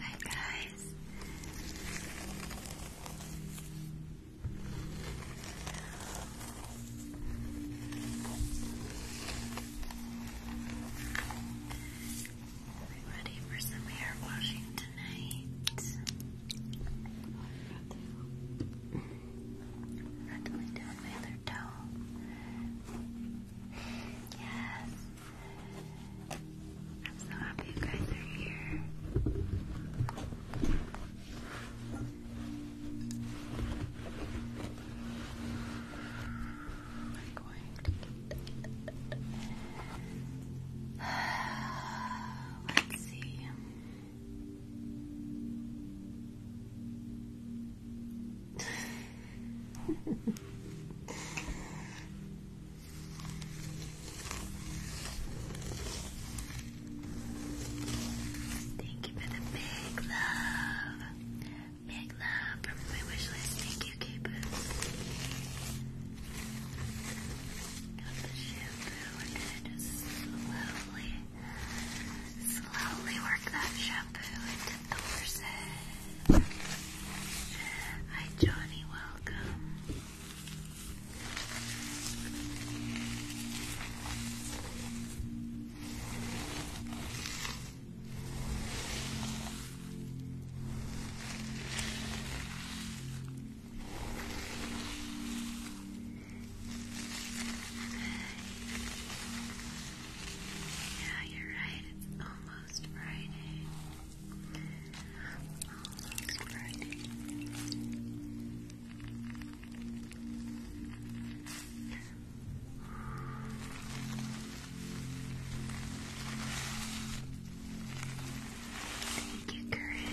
Hi guys. ready for some hair washing tonight. Gently down my other toe. Yes. I'm so happy you guys are here. I'm going to get Let's see. Thank you for the big love. Big love from my wish list. Thank you, Capo. Got the shampoo and it is so lovely. Slowly work that shampoo into the person. Hi, Johnny, welcome. Yeah, you're right. It's almost Friday. Almost Friday. Thank you, Corinne.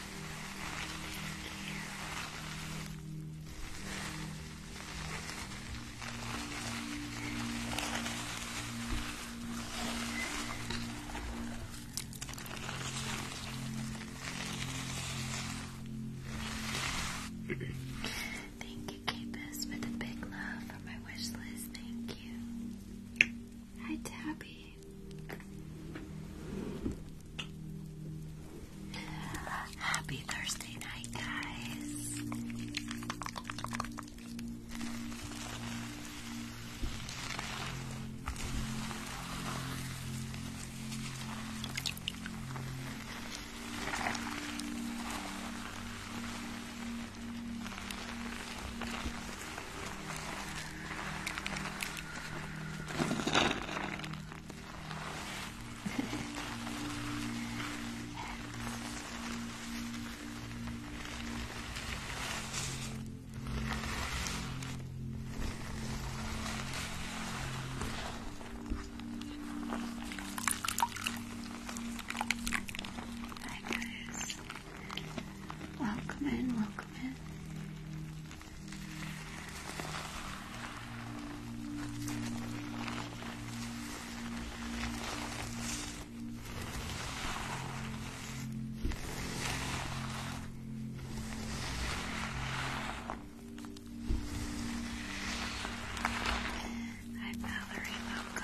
Thank you, Capus, for the big love for my wish list. Thank you. Hi, Tabby. Happy Thursday night, guys. Hi guys. Welcome in, welcome in. I'm Mallory Loco.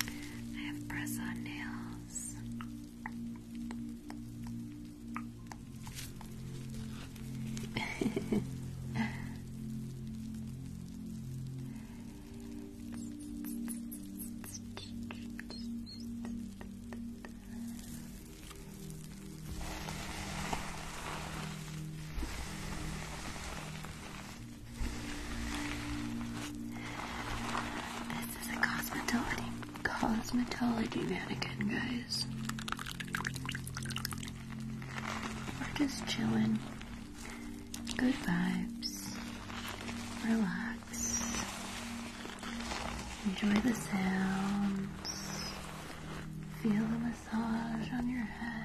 I have press on nails. This is a cosmetology cosmetology mannequin, guys. We're just chilling. Good vibes. Relax. Enjoy the sounds. Feel the massage on your head.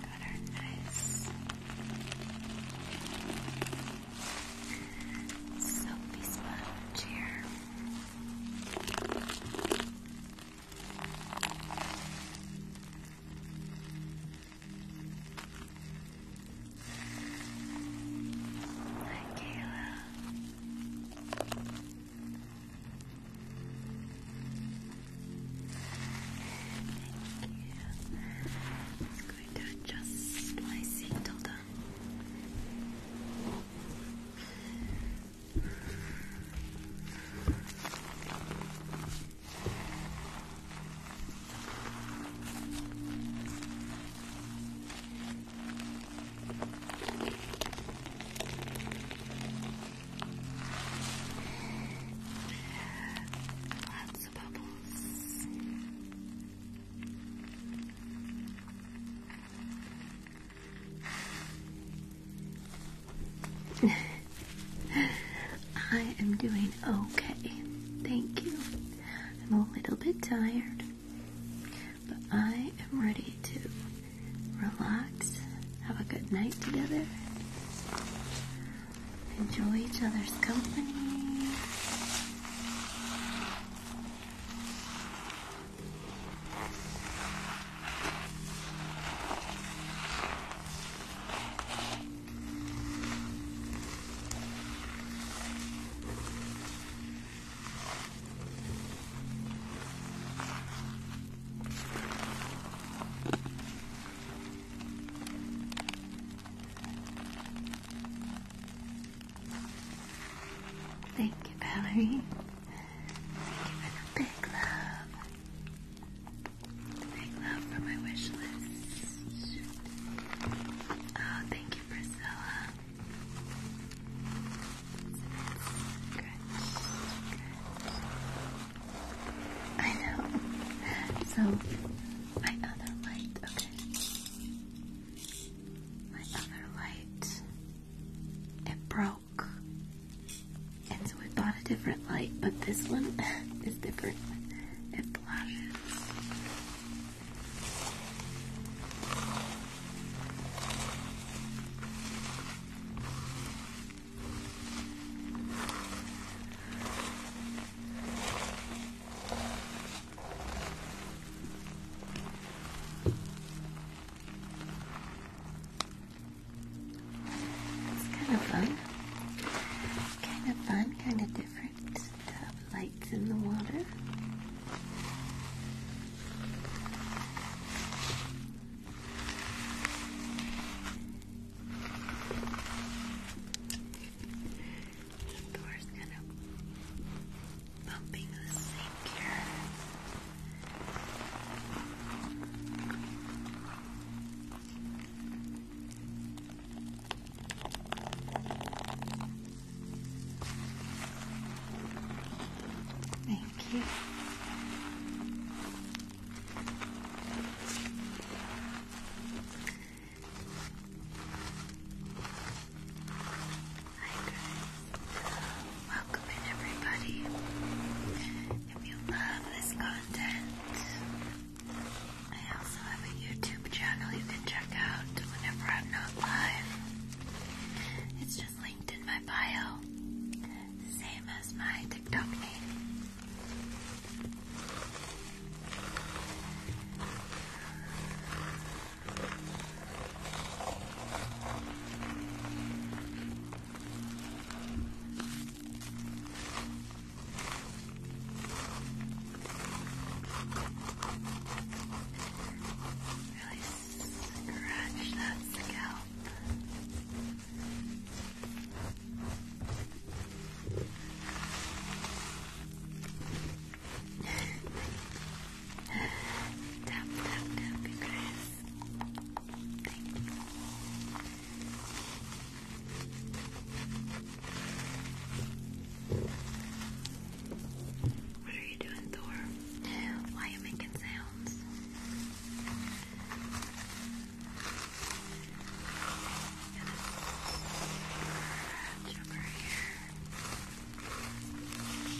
Got our nice soapy sponge here. Hi, Kayla. Thank you. Just going to adjust my seat. Lots of bubbles. I am doing okay. Thank you. I'm a little bit tired. But I am ready to relax, have a good night together, enjoy each other's company. Thank you, Valerie. big love. Big love for my wish list. Oh, thank you, Priscilla. I know. So, my other light, okay. My other light, it broke. And so we bought a different light, but this one is different. It flashes. It's kind of fun. Kind of fun, kind of different. lights in the water. The door's kind of bumping the sink here. All Thank you. Hi guys, welcome in everybody. If you love this content, I also have a YouTube channel you can check out whenever I'm not live. It's just linked in my bio, same as my TikTok name. Really Scratch that scalp. tap, tap, tap, Chris. Thank you. What are you doing, Thor? Why are you making sounds? over here.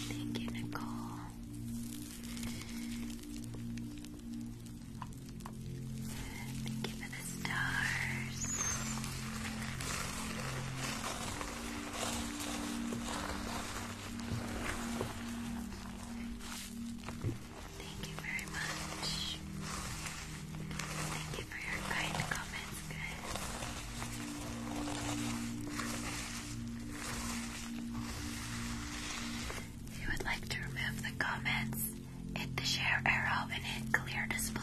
Thank you, Nicole. Thank you for the stars. Thank you very much. Thank you for your kind comments, guys. If you would like to remove the comments, hit the share arrow and hit clear display.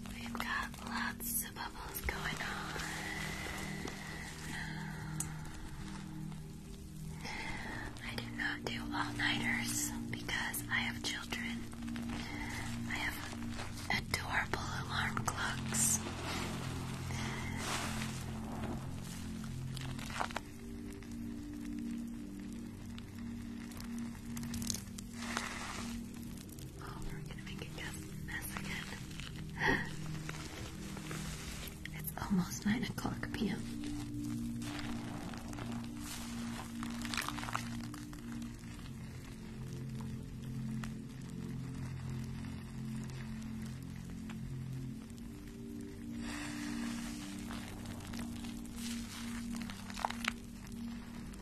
We've got lots of bubbles going on. I do not do all-nighters because I have children. I have adorable alarm clocks. Oh, we're gonna make a mess again. it's almost 9 o'clock p.m.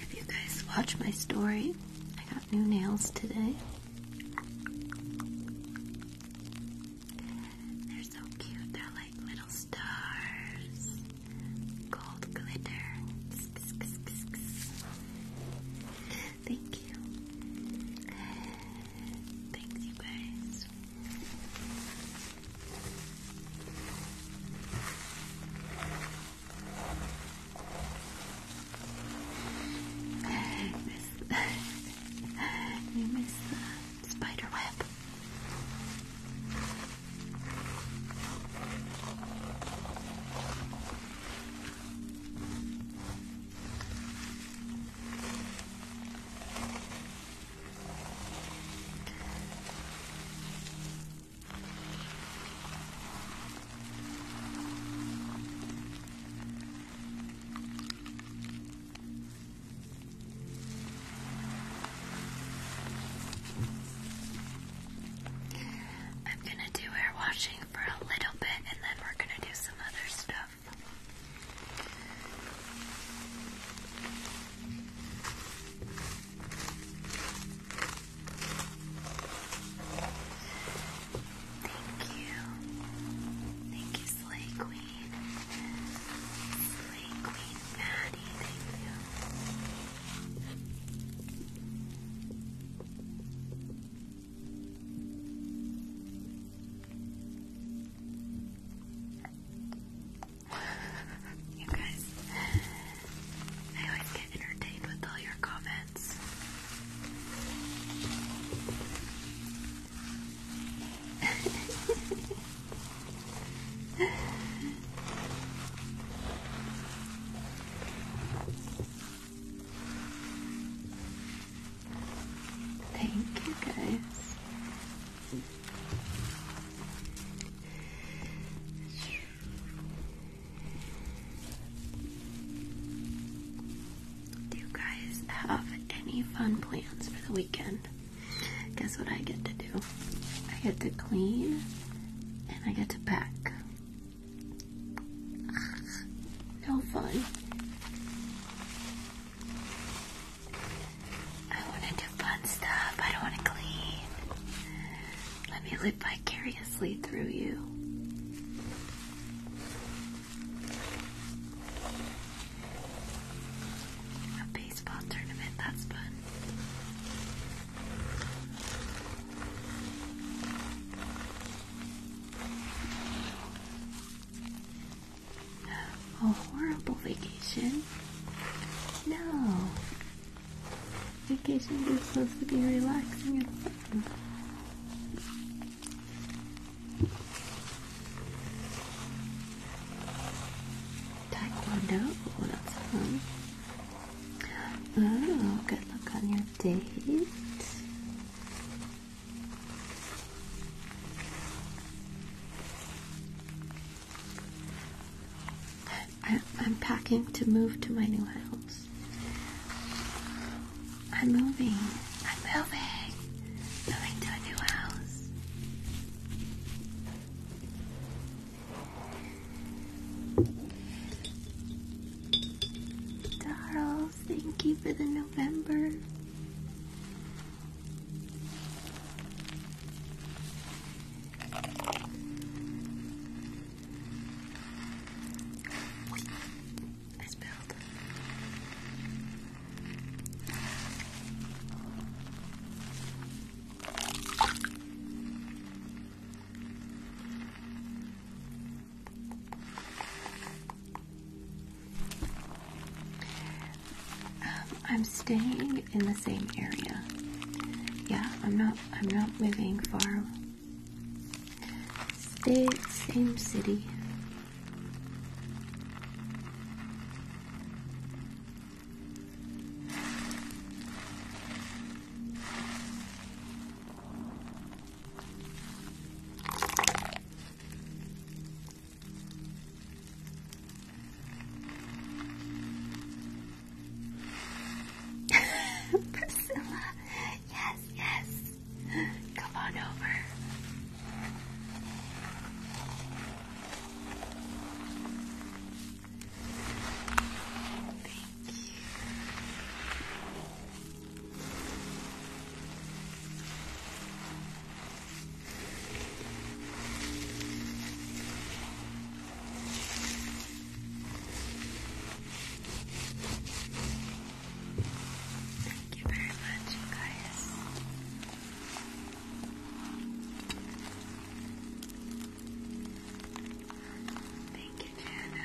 If you guys watch my story, I got new nails today. They're so cute, they're like little stars. Gold glitter. Thank you. Thanks, you guys miss you miss the spider web. I'm gonna do hair washing for a little bit and then we're gonna do some other stuff. Thank you. Thank you, Slay Queen. Slay Queen Maddie, thank you. Thank you guys, I always get entertained with all your comments. Thank you guys. Do you guys have any fun plans for the weekend? Guess what I get to do? I get to clean and I get to pack. No fun. I want to do fun stuff. I don't want to clean. Let me live vicariously through you. A baseball tournament, that's fun. A horrible vacation? No. Vacation is supposed to be relaxing and fun. Oh, that's fun. Oh, good luck on your date. I, am packing to move to my new house. I'm moving. I'm moving. Moving to a new house. Darls, thank you for the November. I am um, staying in the same area. Yeah, I'm not I'm not moving far. Stay same city. Priscilla, yes, yes. Come on over. Thank you. Thank you very much, guys. Thank you, Jana.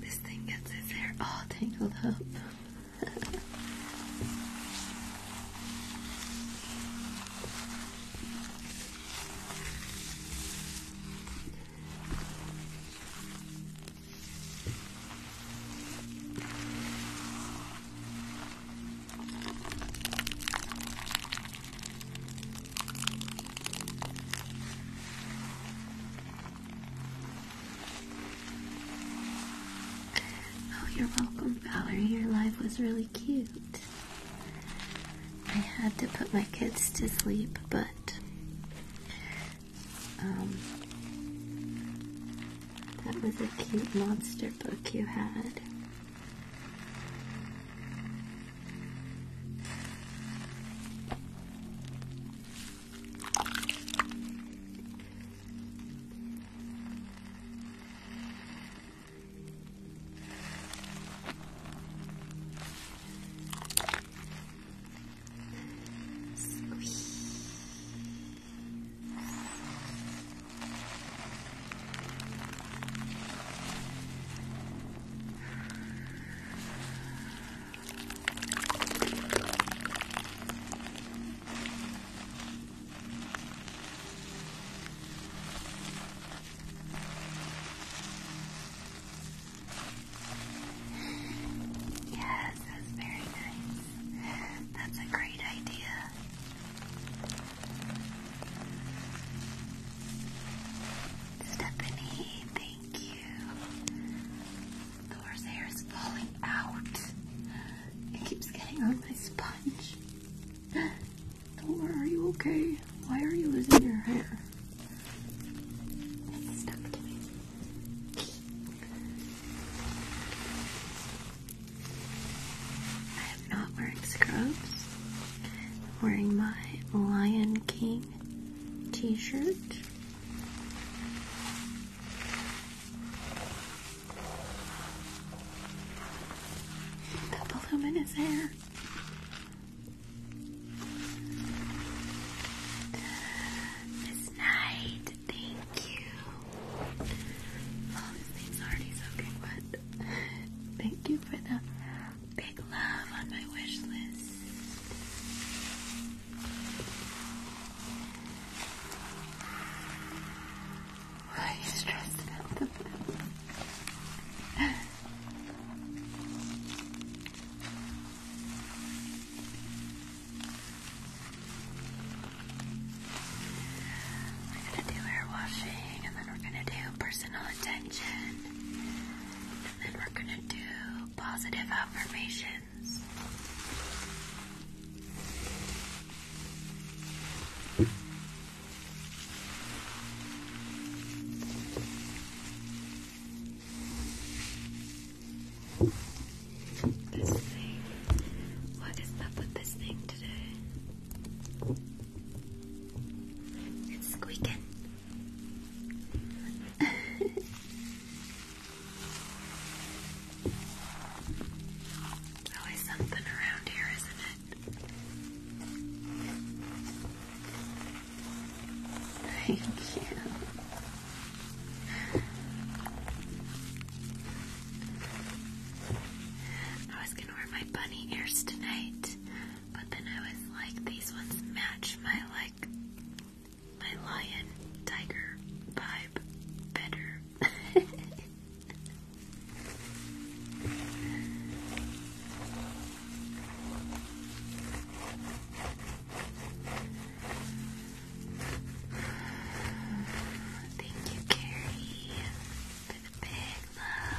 This thing gets his hair all tangled up. Oh, you're welcome, Valerie. Your life was really cute. I had to put my kids to sleep, but um, that was a cute monster book you had. すごい。さあ。Yes, that's very nice. That's a great idea. Stephanie, thank you. Laura's hair is falling out. It keeps getting on my sponge. Laura, are you okay? Why are you losing your hair? I am not wearing scrubs. I'm wearing my Lion King t-shirt. The balloon hair. Miss Knight, thank you. Oh, this thing's already so good, thank you for the Big love on my wish list. Why are you stressed about the We're gonna do hair washing and then we're gonna do personal attention. And then we're going to do positive affirmations. This thing. What is up with this thing today? It's squeaking. There's always something around here, isn't it? Thank you. I was gonna wear my bunny ears tonight, but then I was like, these ones match my like my lion tiger vibe better. Thank you, Carrie, for the big love.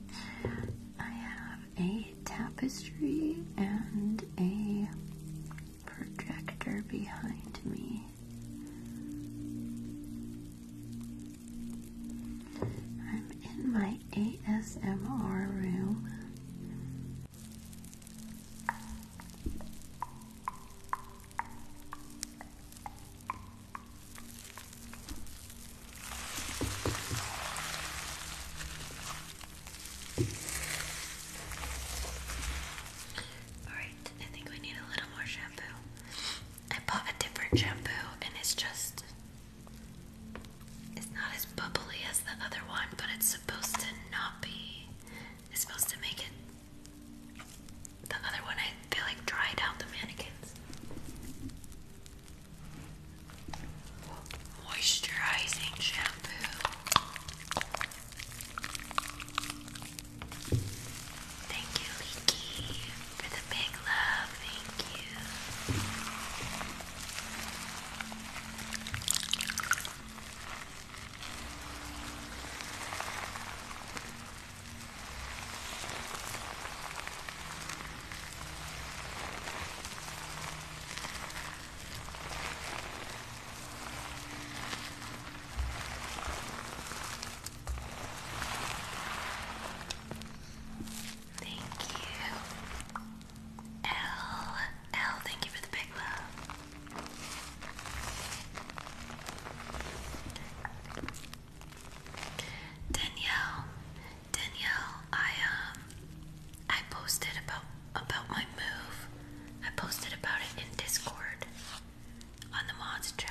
I have a tapestry and a projector behind me. I'm in my ASMR room. Alright, I think we need a little more shampoo. I bought a different shampoo and it's just it's not as bubbly as the other one, but it's supposed to not be it's supposed to make it the other one I feel like dried out the mannequins. Moisturizing shampoo. Thank you, Leaky, for the big love. Thank you. Thank you, L. L, thank you for the big love. Danielle, Danielle, I um, I posted about about my move. I posted about it in Discord on the mods chat.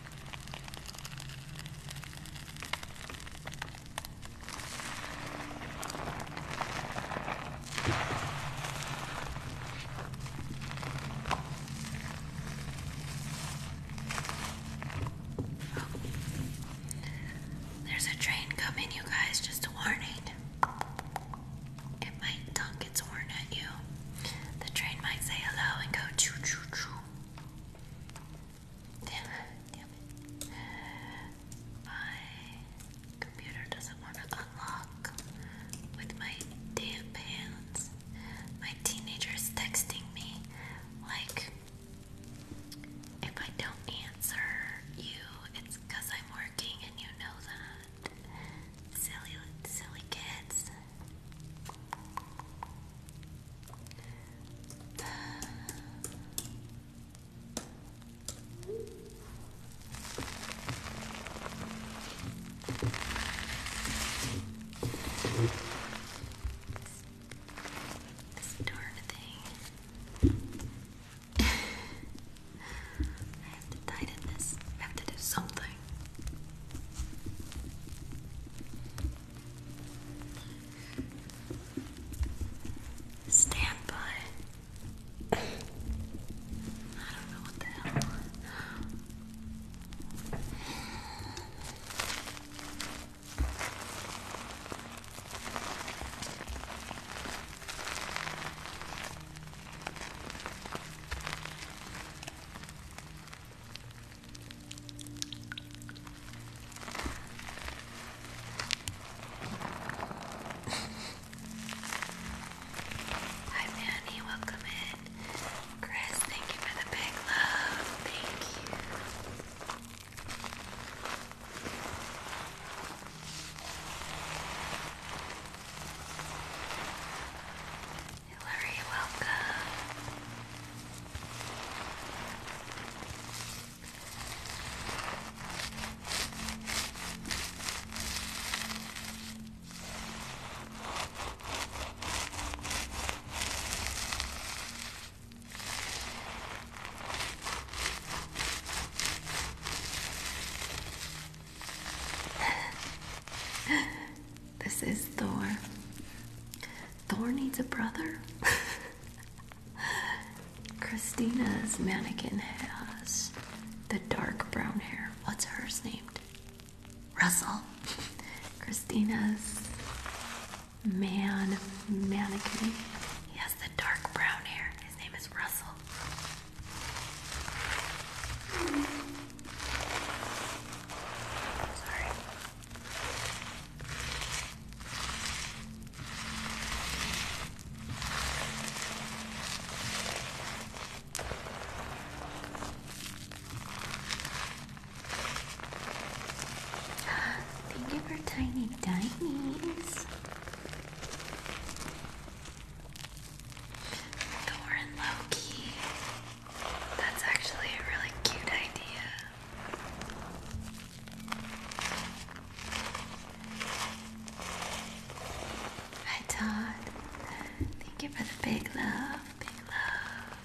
There's a train coming, you guys, just a warning. It might dunk its horn at you. The train might say hello and go choo choo choo. Damn it, damn it. My computer doesn't want to unlock with my damp hands. My teenager is texting me like, if I don't answer you, it's because I'm working and you know that. Silly, silly kids. This, this thing. I have to tighten this. I have to do something. Stand by. I don't know what the hell. Hi Manny, welcome in. Chris, thank you for the big love. Thank you. Hillary, welcome. This is Thor. Thor needs a brother. Christina's mannequin has the dark brown hair. What's hers named? Russell. Christina's man mannequin. He has the dark brown hair. His name is Russell. Sorry. Thank you for tiny dinies. Doran Loki. That's actually a really cute idea. Hi Todd. Thank you for the big love. Big love.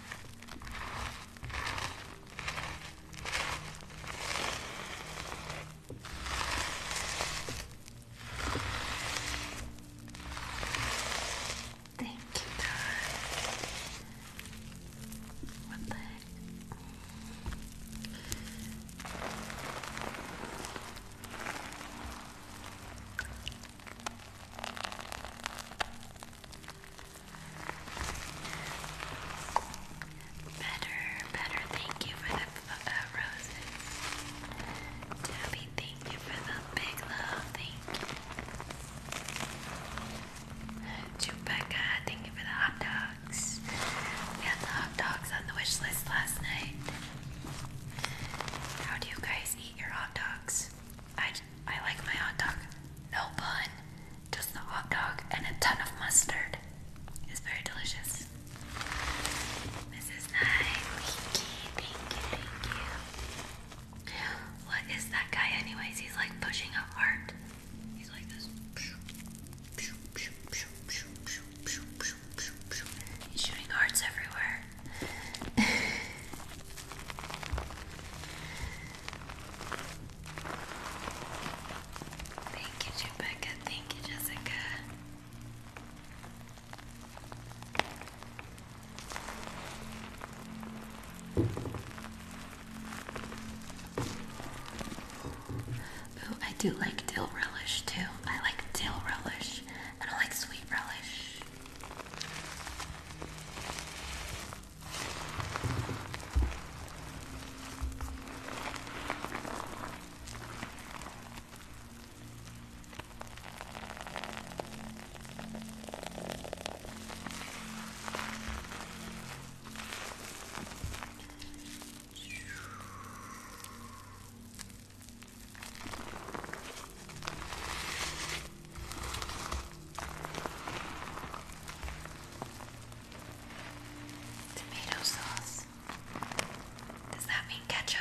Thank you, darling. What the heck? Better, better. Thank you for the uh, roses. Tabby, thank you for the big love. Thank to thank you for the hot dogs. We had the hot dogs on the wish list last night. How do you guys eat your hot dogs? I, I like my hot dog. No bun, just the hot dog and a ton of mustard. It's very delicious. Mrs. Nine, thank you, thank you, thank you. What is that guy, anyways? He's like pushing a heart. He's like this. He's shooting hearts everywhere. Thank you, Rebecca. Thank you, Jessica. I do like dill relish too. I like dill relish I don't like sweet relish. Tomato sauce. Does that mean ketchup?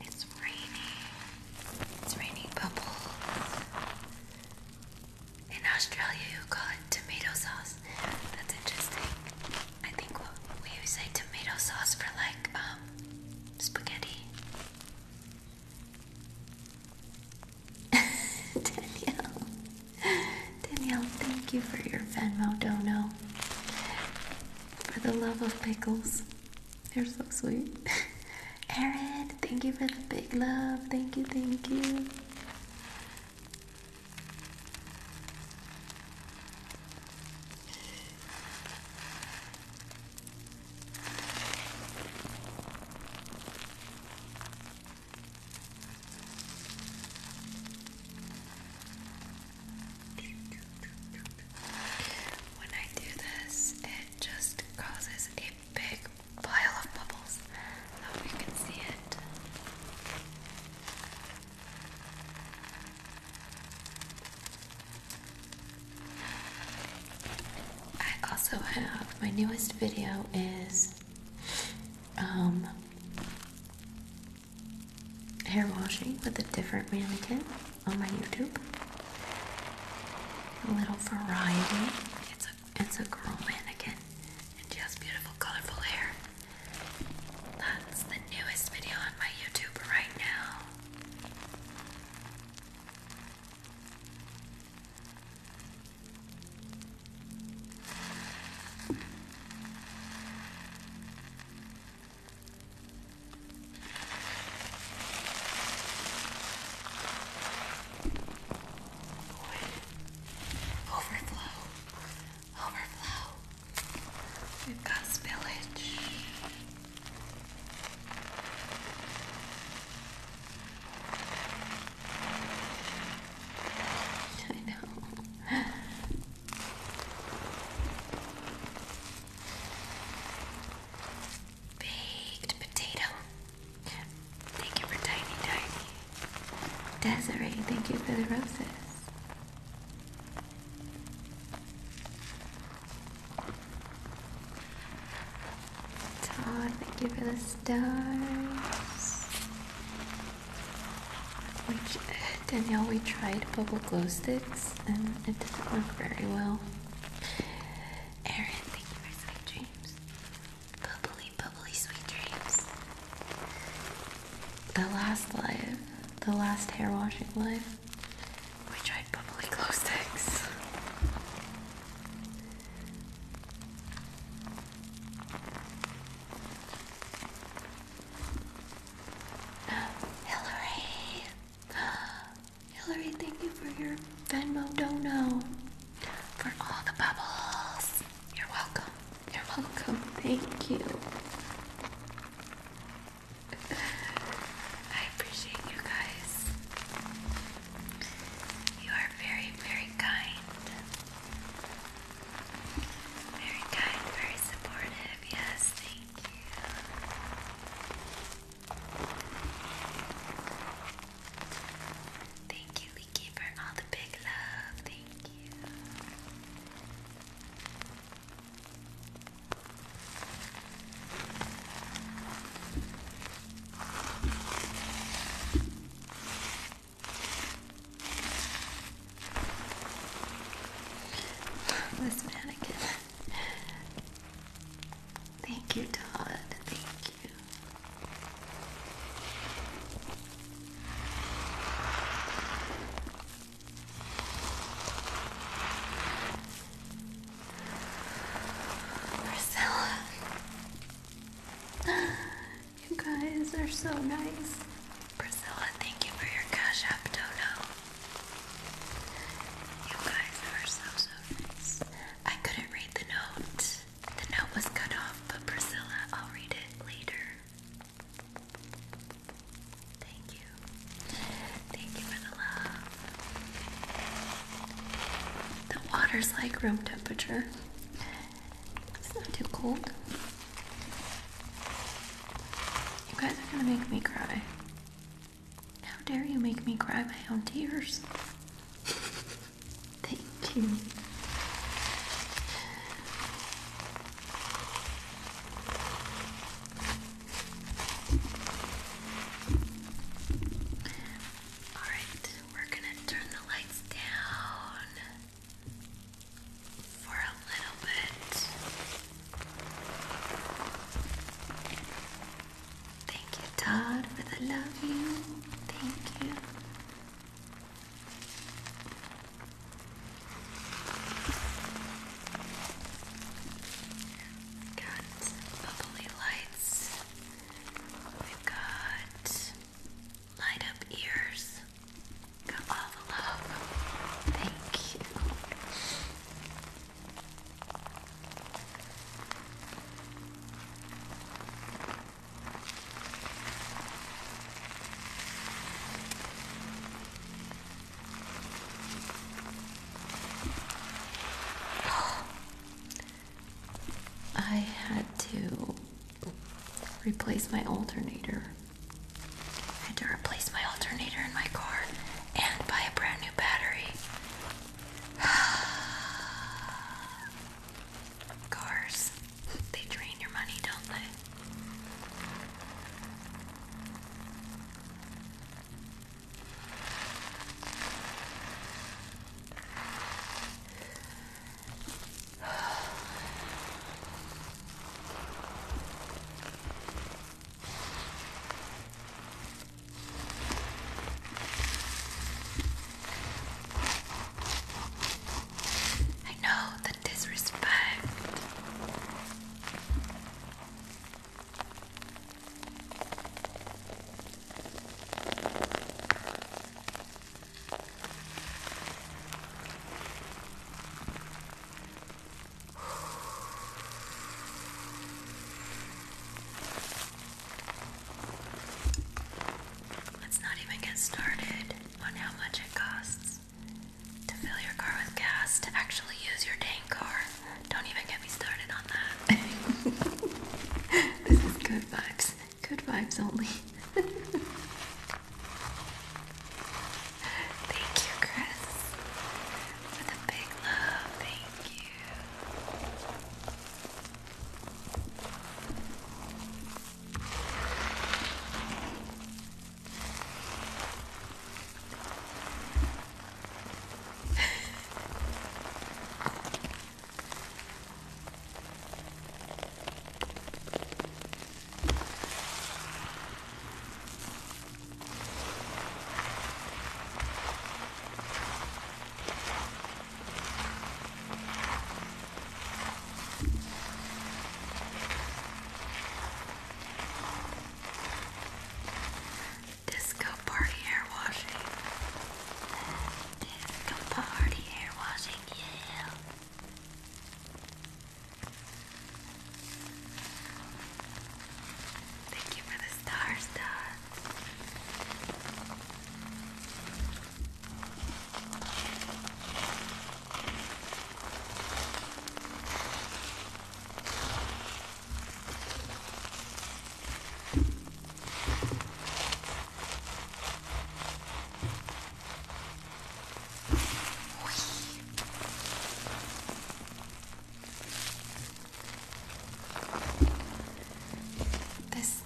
It's raining. It's raining bubbles. In Australia, you call it tomato sauce. That's interesting. I think we say tomato sauce for like um, spaghetti. Danielle, Danielle, thank you for your Venmo dono. For the love of pickles. you are so sweet. Aaron, thank you for the big love. Thank you, thank you. When I do this, it just causes a big pile of bubbles. I hope you can see it. I also have my newest video is um, hair washing with a different mannequin on my YouTube. A little variety. It's a it's a girl mannequin and she has beautiful colorful hair. That's the newest video on my YouTube right now. Overflow. Overflow. We've got spillage. I know. Baked potato. Thank you for tiny tiny. Desiree, thank you for the roses. Todd, thank you for the stars. Danielle, we tried bubble glow sticks and it didn't work very well. Aaron, thank you for sweet dreams. Bubbly, bubbly, sweet dreams. The last live, the last hair washing live, we tried bubbly glow sticks. Hillary. Hillary, thank you for your Venmo dono. For all the bubbles. You're welcome. You're welcome. Thank you. I appreciate you guys. You are very, very kind. Very kind, very supportive. Yes, thank you. Thank you, Leaky, all the big love. Thank you. This mannequin. Thank you, Todd. Thank you. Marcella. You guys are so nice. Priscilla, thank you for your cash app dono. You guys are so, so nice. I couldn't read the note. The note was cut off, but Priscilla, I'll read it later. Thank you. Thank you for The water's like room temperature. It's not too cold. You guys are gonna make me cry. How dare you make me cry my own tears? Thank you. All right, we're gonna turn the lights down for a little bit. Thank you, Todd, for the love you. Thank you. got bubbly lights. We've got light up ears all love. Thank you. I had to replace my alternator I had to replace my alternator in my car and buy a brand new battery. Cars, they drain your money, don't they? I know the disrespect. Let's not even get started on how much it costs to fill your car with gas to actually use your dang car. Don't even get me started on that. this is good vibes. Good vibes only. Thank you, Chris, for the big love. Thank you. Disco party hair washing. Disco party hair washing, yeah. Thank you for the stars, Dad. This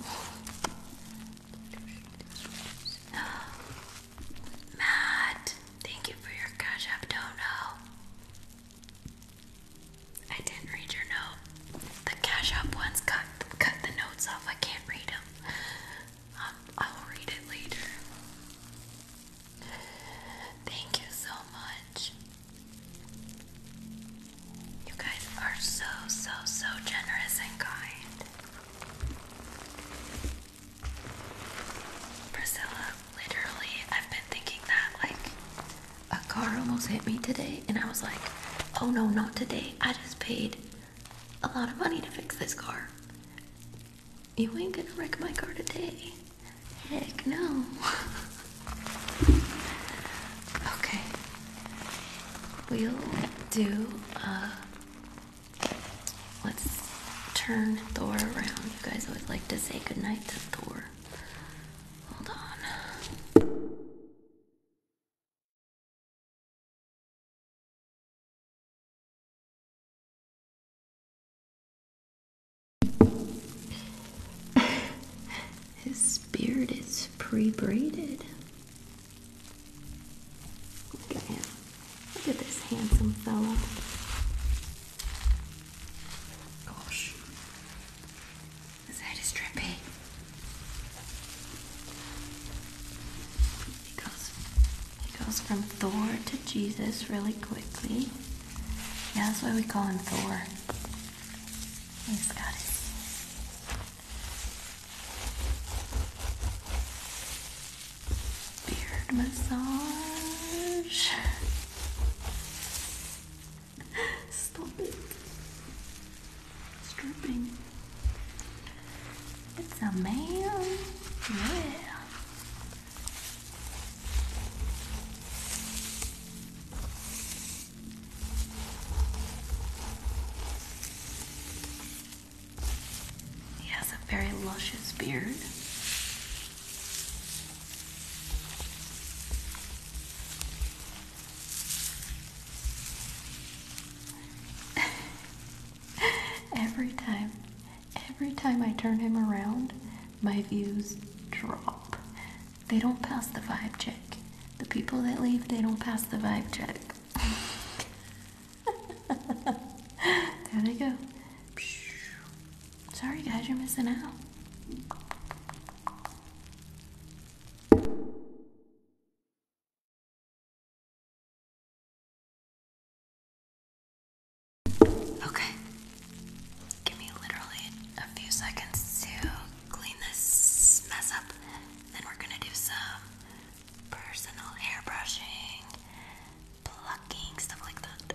Matt, thank you for your cash up dono. I didn't read your note. The cash app ones cut cut the notes off. I can't read them. Um, I'll read it later. Thank you so much. You guys are so, so, so generous and kind. Priscilla, literally, I've been thinking that like a car almost hit me today, and I was like, oh no, not today. I just paid a lot of money to fix this car. You ain't gonna wreck my car today. Heck no. okay. We'll do, uh, let's turn Thor around. You guys always like to say goodnight to Thor. Hold on. His beard is pre-braided. Look at him. Look at this handsome fella. Gosh. His head is drippy. He he goes from Thor to Jesus really quickly. Yeah, that's why we call him Thor. He's got it. Beard massage. Stop it. It's It's a man. Yeah. He has a very luscious beard. Every time Every time I turn him around, my views drop. They don't pass the vibe check. The people that leave, they don't pass the vibe check. there they go. Sorry, guys, you're missing out. Okay. Give me literally a few seconds to clean this mess up. Then we're gonna do some personal hair brushing, plucking, stuff like that.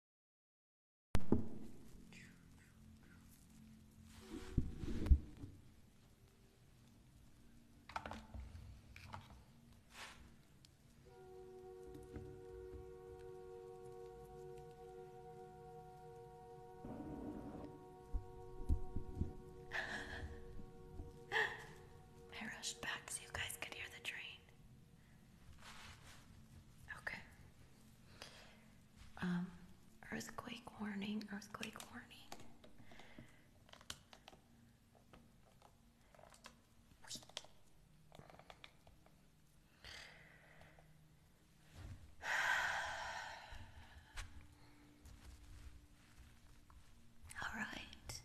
I rushed back so you guys could hear the train. Okay. Um, earthquake warning, earthquake warning. All right,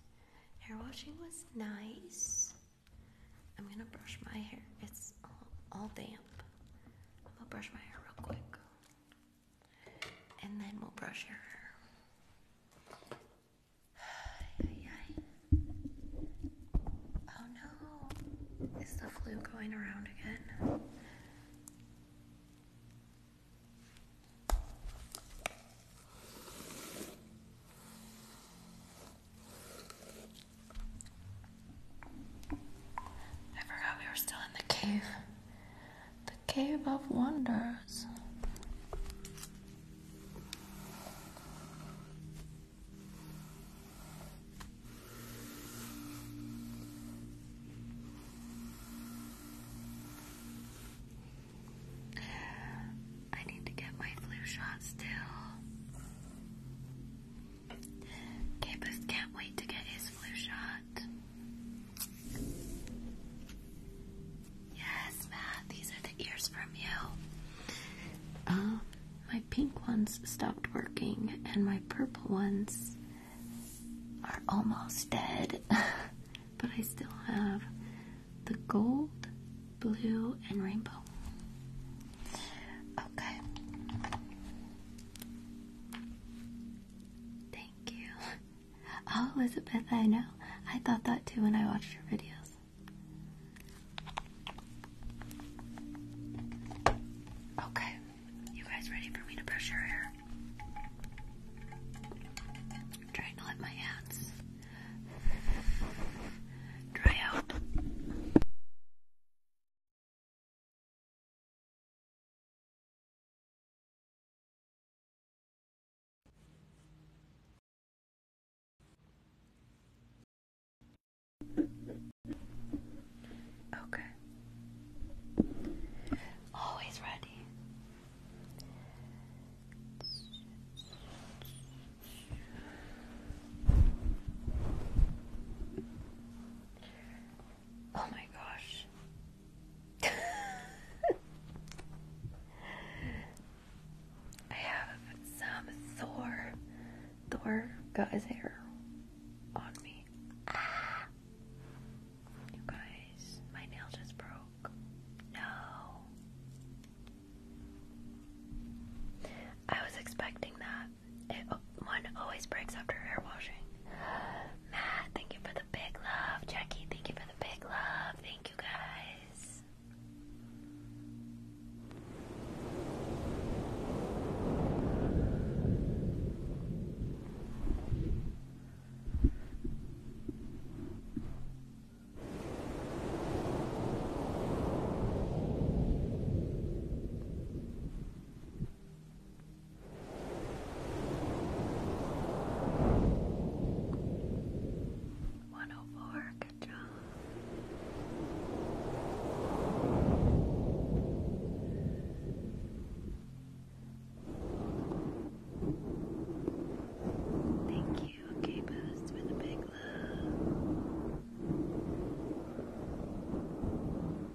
hair washing was nice. I'm gonna brush my hair, it's all, damp. I'm gonna brush my hair real quick. And then we'll brush your hair. Oh no. Is the flu going around again? I forgot we were still in the cave. The cave of wonders. I need to get my flu shot still. Capus can't wait to get his flu shot. Yes, Matt, these are the ears from you. Um, my pink ones stopped working, and my purple ones are almost dead. but I still have the gold, blue, and rainbow. Okay. Thank you. Oh, Elizabeth, I know. I thought that too when I watched your videos. Okay, you guys ready for me to brush your hair? trying to let my hands dry out. Okay. Always ready. Oh my gosh. I have some Thor. Thor got his hair on me. Ah. guys, my nail just broke. No. I was expecting that it, always breaks after hair washing. Matt, thank you for the big love. Jackie, thank you for the big love. Thank you guys. One oh four, good job. Thank you, okay boost with a big love.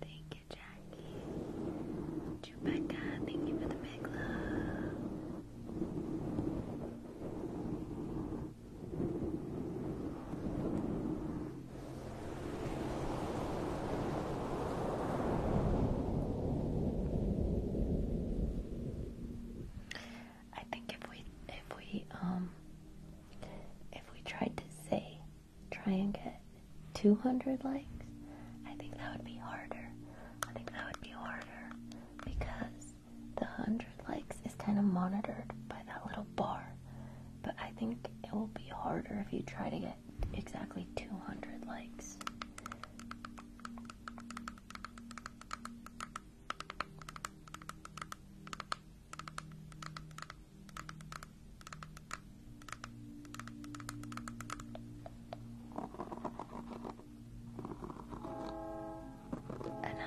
Thank you, Jackie. Chewbacca, thank you for the big love. I think if we if we um if we tried to say, try and get 200 likes, I think that would be harder. I think that would be harder because the 100 likes is kind of monitored by that little bar. But I think it will be harder if you try to get exactly 200 likes.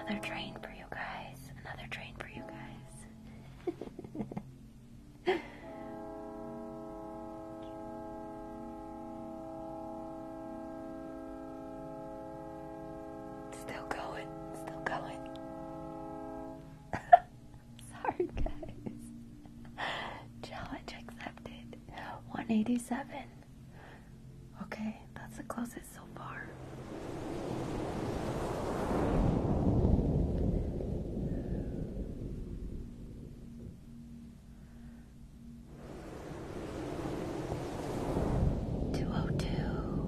Another train for you guys. Another train for you guys. Still going, still going. Sorry, guys. Challenge accepted. 187. Okay, that's the closest so far. Two oh two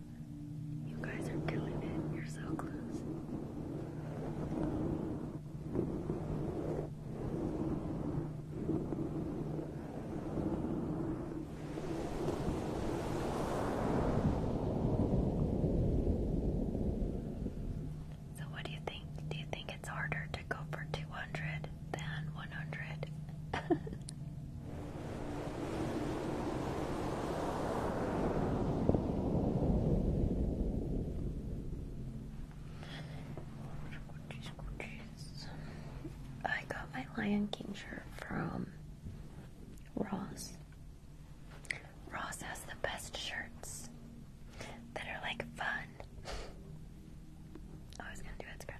You guys are killing it. You're so close. So, what do you think? Do you think it's harder to go for 200 than 100? I got my Lion King shirt from Ross. Ross has the best shirts that are like fun. I was gonna do Instagram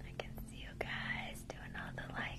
I can see you guys doing all the likes.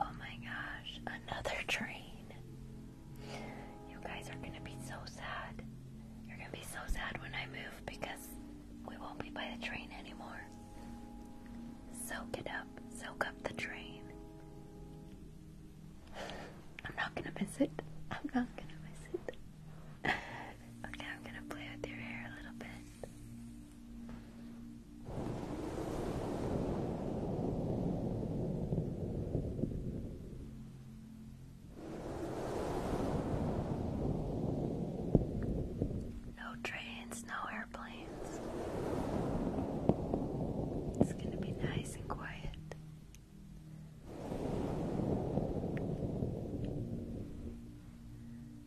Oh my gosh, another train. You guys are gonna be so sad. You're gonna be so sad when I move because we won't be by the train anymore. Soak it up, soak up the train. I'm not gonna miss it. I'm not gonna miss it. okay, I'm gonna play with your hair a little bit. No trains, no airplanes. It's going to be nice and quiet.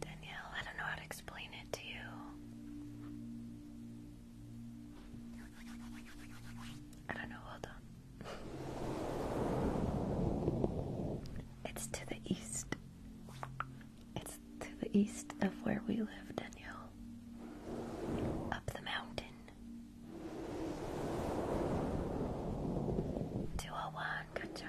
Danielle, I don't know how to explain it to you. I don't know, hold on. It's to the east. It's to the east of where we live, Danielle. Up the mountain. Two oh one, good job.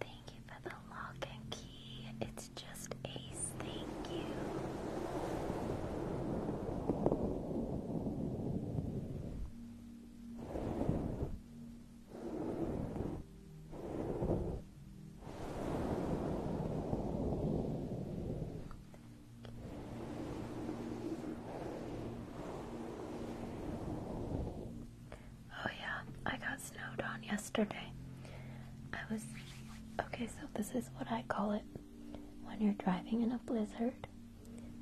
Thank you for the lock and key. It's just ace. Thank you. Oh yeah, I got snowed on yesterday. I was okay, so this is what I call it when you're driving in a blizzard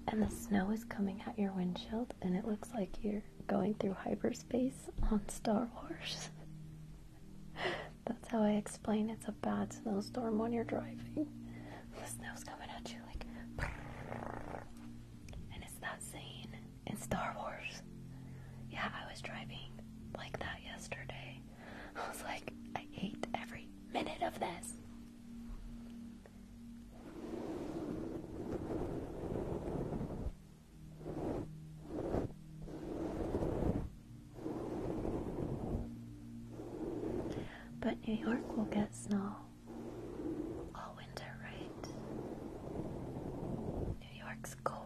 and the snow is coming at your windshield and it looks like you're going through hyperspace on Star Wars. That's how I explain it's a bad snowstorm when you're driving. The snow's coming at you like and it's that scene in Star Wars. Yeah, I was driving like that yesterday. I was like, I hate every minute of this. But New York will get snow all winter, right? New York's cold.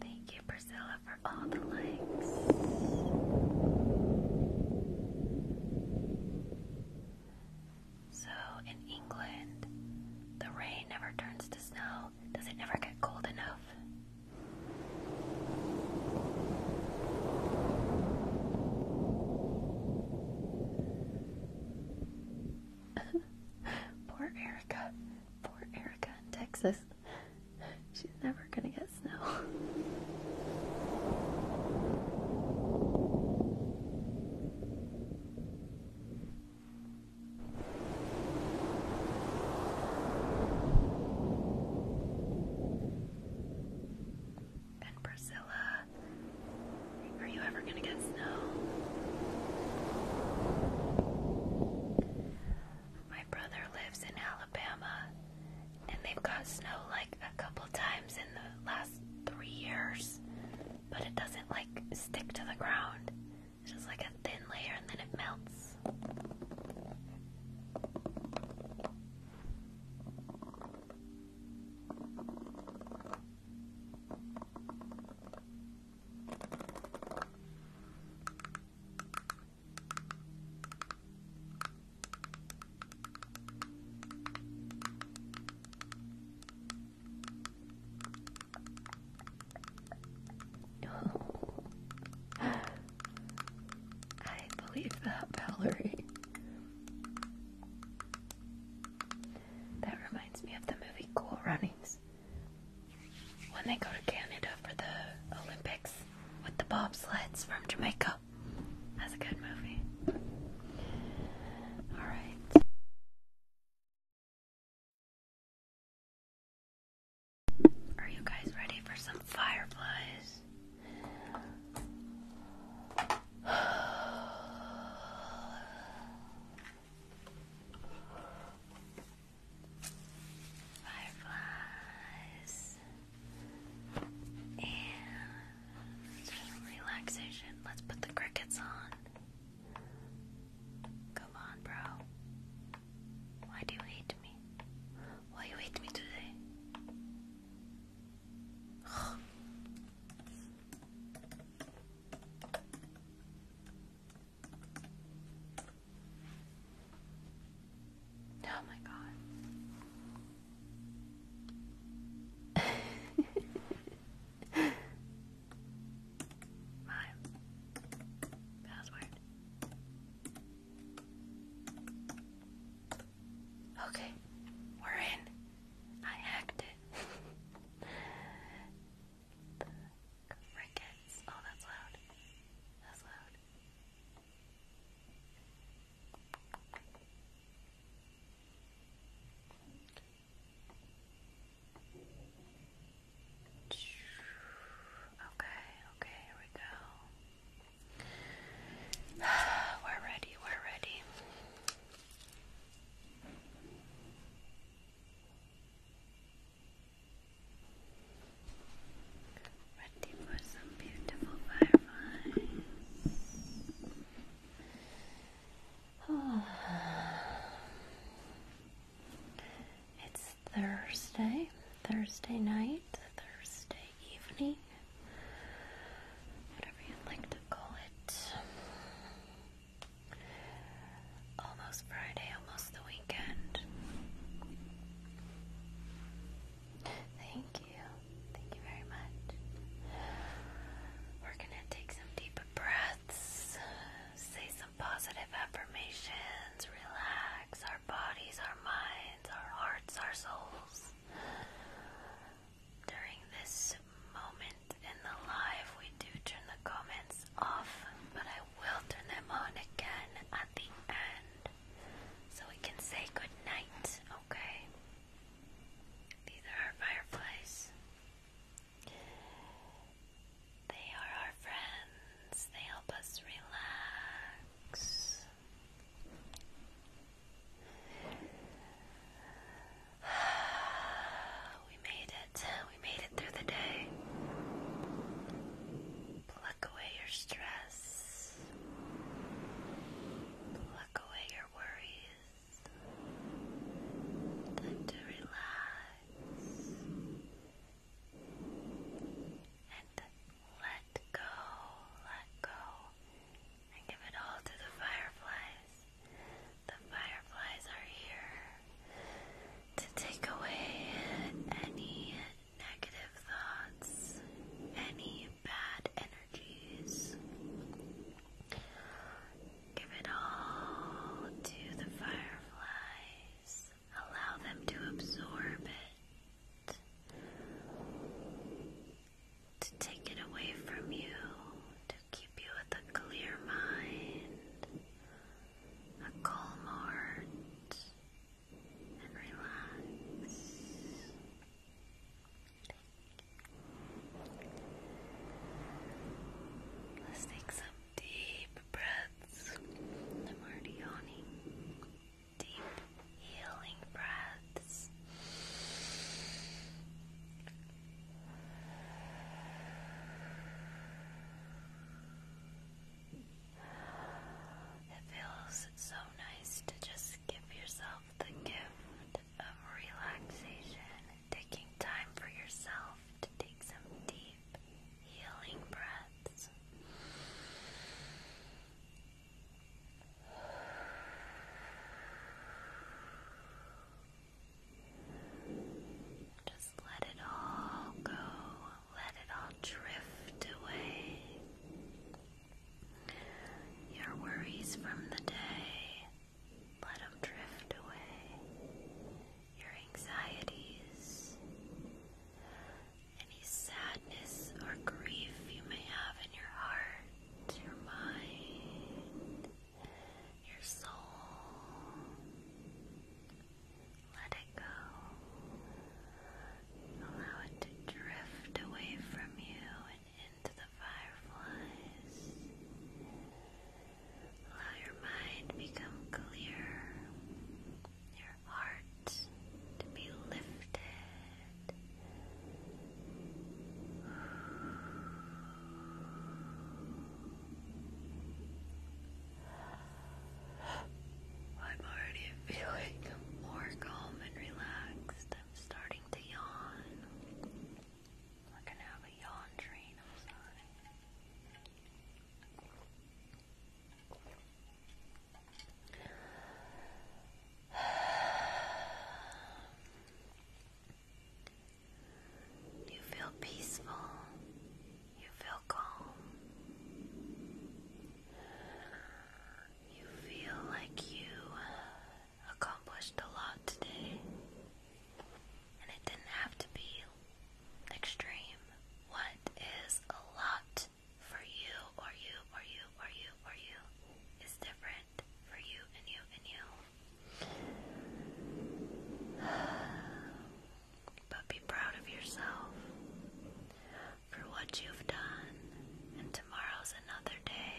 Thank you, Priscilla, for all the likes. So, in England, the rain never turns to snow. Does it never get cold enough? Poor Erica. Poor Erica in Texas. She's never gonna get snow. And Priscilla are you ever gonna get snow? My brother lives in Alabama, and they've got snow like a couple times in the last three years, but it doesn't like stick to the ground. It's just like a thin layer and then it melts. I believe that, Valerie. That reminds me of the movie Cool Runnings. When they go to Canada for the Olympics with the bobsleds from Jamaica. That's a good movie. Alright. Are you guys ready for some fireflies? Fireflies and relaxation. Let's put the crickets on. Come on, bro. Why do you hate me? Why you hate me today? Oh my god. password. Okay, we're in. I hacked it. the Oh, that's loud. That's loud. Okay, okay, here we go. We're ready, we're ready. Ready for some beautiful fireflies. Oh. It's Thursday, Thursday night, Thursday evening whatever you'd like to call it. Almost Friday, almost the weekend. Thank you. Thank you very much. We're gonna take some deep breaths, say some positive affirmations, relax our bodies, our minds, our hearts, our souls during this moment in the live, we do turn the comments off, but I will turn them on again at the end so we can say good night, okay? These are our fireflies. They are our friends, they help us relax. We made it. We made it through the day. Pluck away your stress. Pluck away your worries. Time to relax. And let go, let go, give it all to the fireflies. The fireflies are here to take away any negative thoughts, any bad energies. Give it all to the fireflies. Allow them to absorb it to take it away from you, to keep you with a clear mind, a calm heart, and relax. Let's take some deep breaths. I'm already yawning. Deep healing breaths. It feels so nice to just give yourself the gift of relaxation, taking time for yourself to take some deep, healing breaths. Just let it all go, let it all drift away. Your worries from the day, let them drift away. Your anxieties, any sadness or grief you may have in your heart, your mind, your soul. Let it go. Allow it to drift away from you and into the fireflies. Allow your mind become clear, your heart to be lifted. I'm already feeling more calm and relaxed. I'm starting to yawn. We're gonna have a yawn train, i you feel peaceful. You feel calm. You feel like you accomplished a lot today. And it didn't have to be extreme. What is a lot for you or you or you or you or you is different for you and you and you. But be proud of yourself for what you've done, and tomorrow's another day.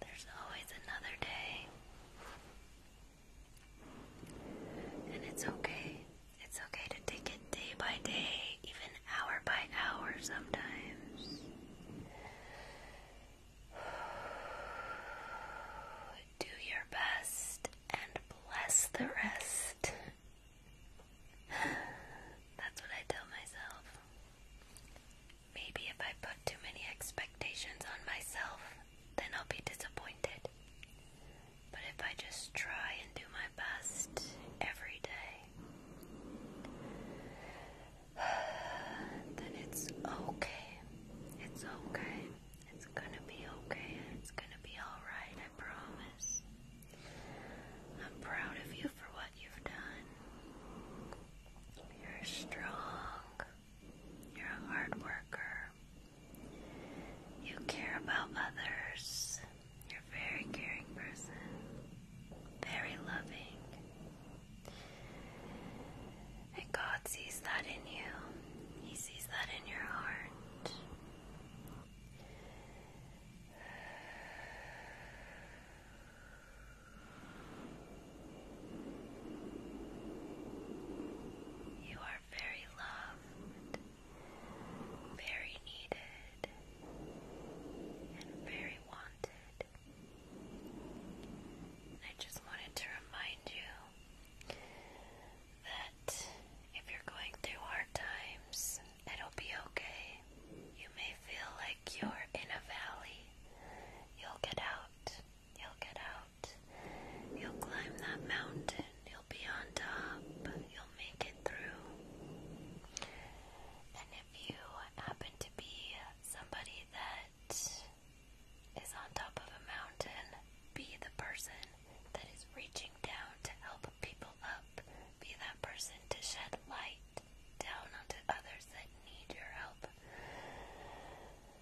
There's always another day. And it's okay. It's okay to take it day by day, even hour by hour sometimes. Do your best and bless the rest. That's what I tell myself. Maybe if I put too many expectations on myself, then I'll be disappointed. But if I just try and do my best every day, then it's okay. It's okay. It's gonna be okay. It's gonna be alright, I promise. I'm proud of you for what you've done. You're strong. You're a hard worker. You care about others. You're a very caring person, very loving. And God sees that in you, He sees that in your heart. You are very loved, very needed, and very wanted. I just wanted to remind you that if you're going through hard times, it'll be okay. You may feel like you're in a valley. You'll get out. You'll get out. You'll climb that mountain. You'll be on top. You'll make it through if you happen to be somebody that is on top of a mountain, be the person that is reaching down to help people up. Be that person to shed light down onto others that need your help.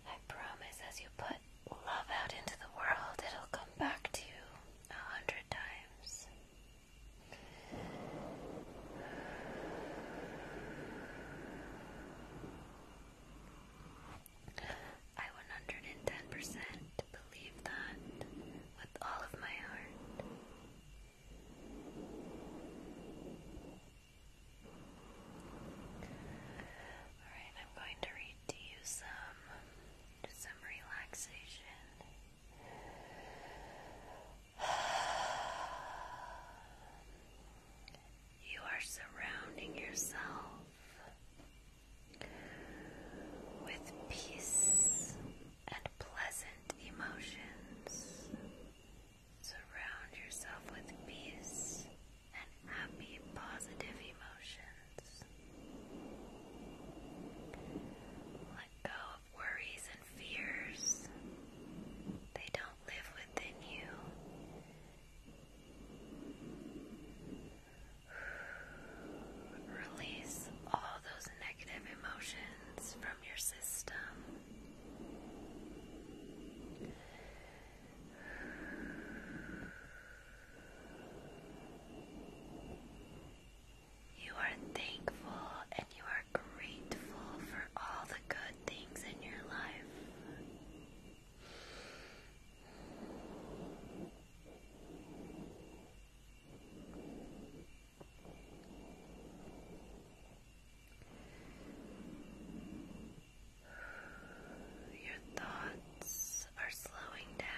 I promise as you put love out into the world, it'll come back to you a hundred times. I 110% believe that with all of my heart. Alright, I'm going to read to you some some relaxation you are surrounding yourself with peace and pleasant emotions. Surround yourself with peace and happy, positive emotions. Let go worries and fears. They don't live within you. Release all those negative emotions from your system. You are thankful and you are grateful for all the good things in your life. Your thoughts are slowing down.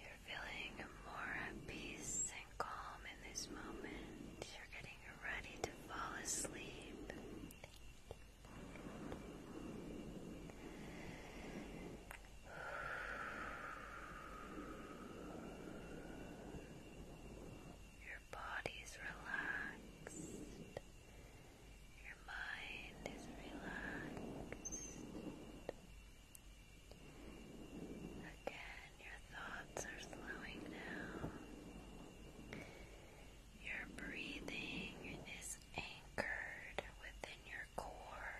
You're feeling more at peace and calm in this moment. You're getting ready to fall asleep. Your body's relaxed. Your mind is relaxed. Again, your thoughts are slowing down. Your breathing is anchored within your core.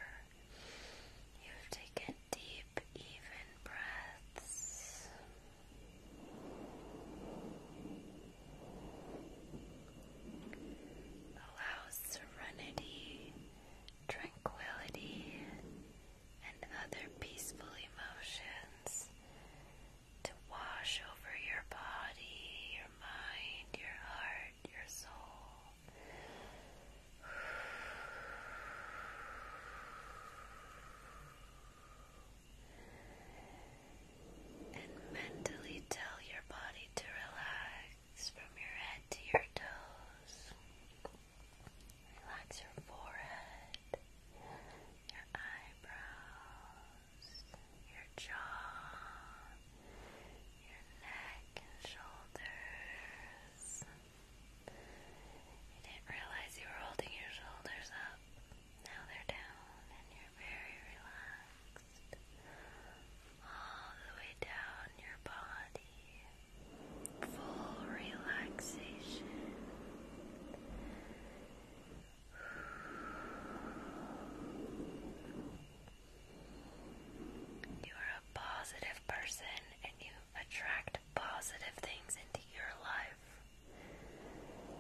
You've deep, even breaths. Allow serenity tranquility, and other peaceful emotions to wash over your body, your mind, your heart, your soul. And mentally tell your body to relax. Relax from your head to your toes. Relax your forehead, your eyebrows, your jaw, your neck and shoulders. You didn't realize you were holding your shoulders up. Now they're down and you're very relaxed all the way down your body, full relaxation. You are a positive person and you attract positive things into your life.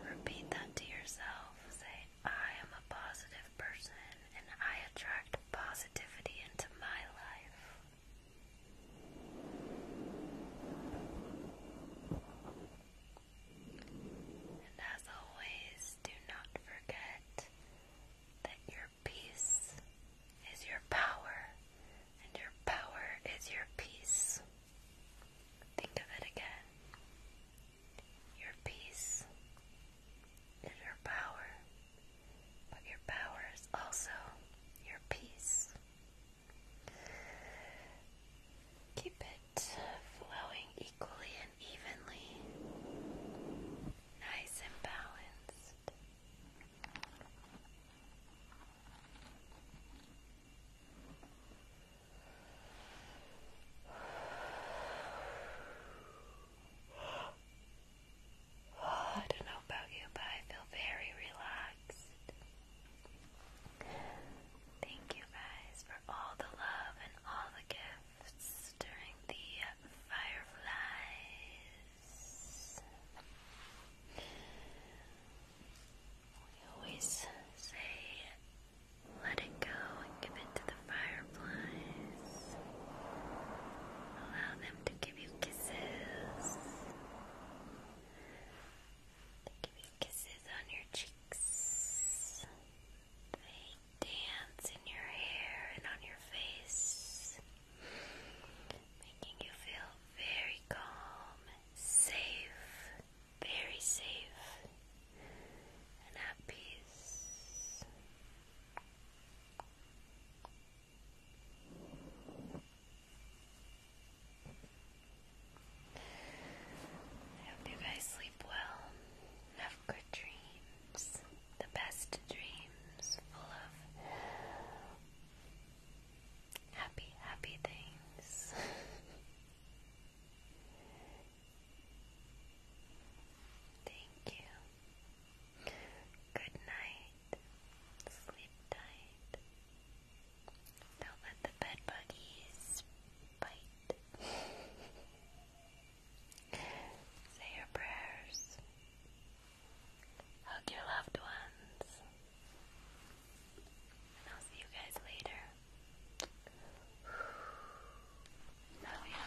Repeat that to yourself. Say, I am a positive person and I attract positivity into my life. And as always, do not forget that your peace is your power, and your power is your peace. Think of it again. Your peace is your power, but your power is also your peace. Keep it flowing equally and evenly, nice and balanced. I don't know about you, but I feel very relaxed. Thank you guys for all the love and all the gifts during the fireflies. We always say, let it go and give it to the fireflies. Allow them to give you kisses. give you kisses on your cheeks. dance in your hair and on your face, making you feel very calm, safe, very safe, and at peace. I hope you guys sleep well. Have good dreams. The best dreams full of happy, happy things. Thank you. Good night. Sleep tight. Don't let the bed bite. Say your prayers. Hug your loved ones. And I'll see you guys later. Love you.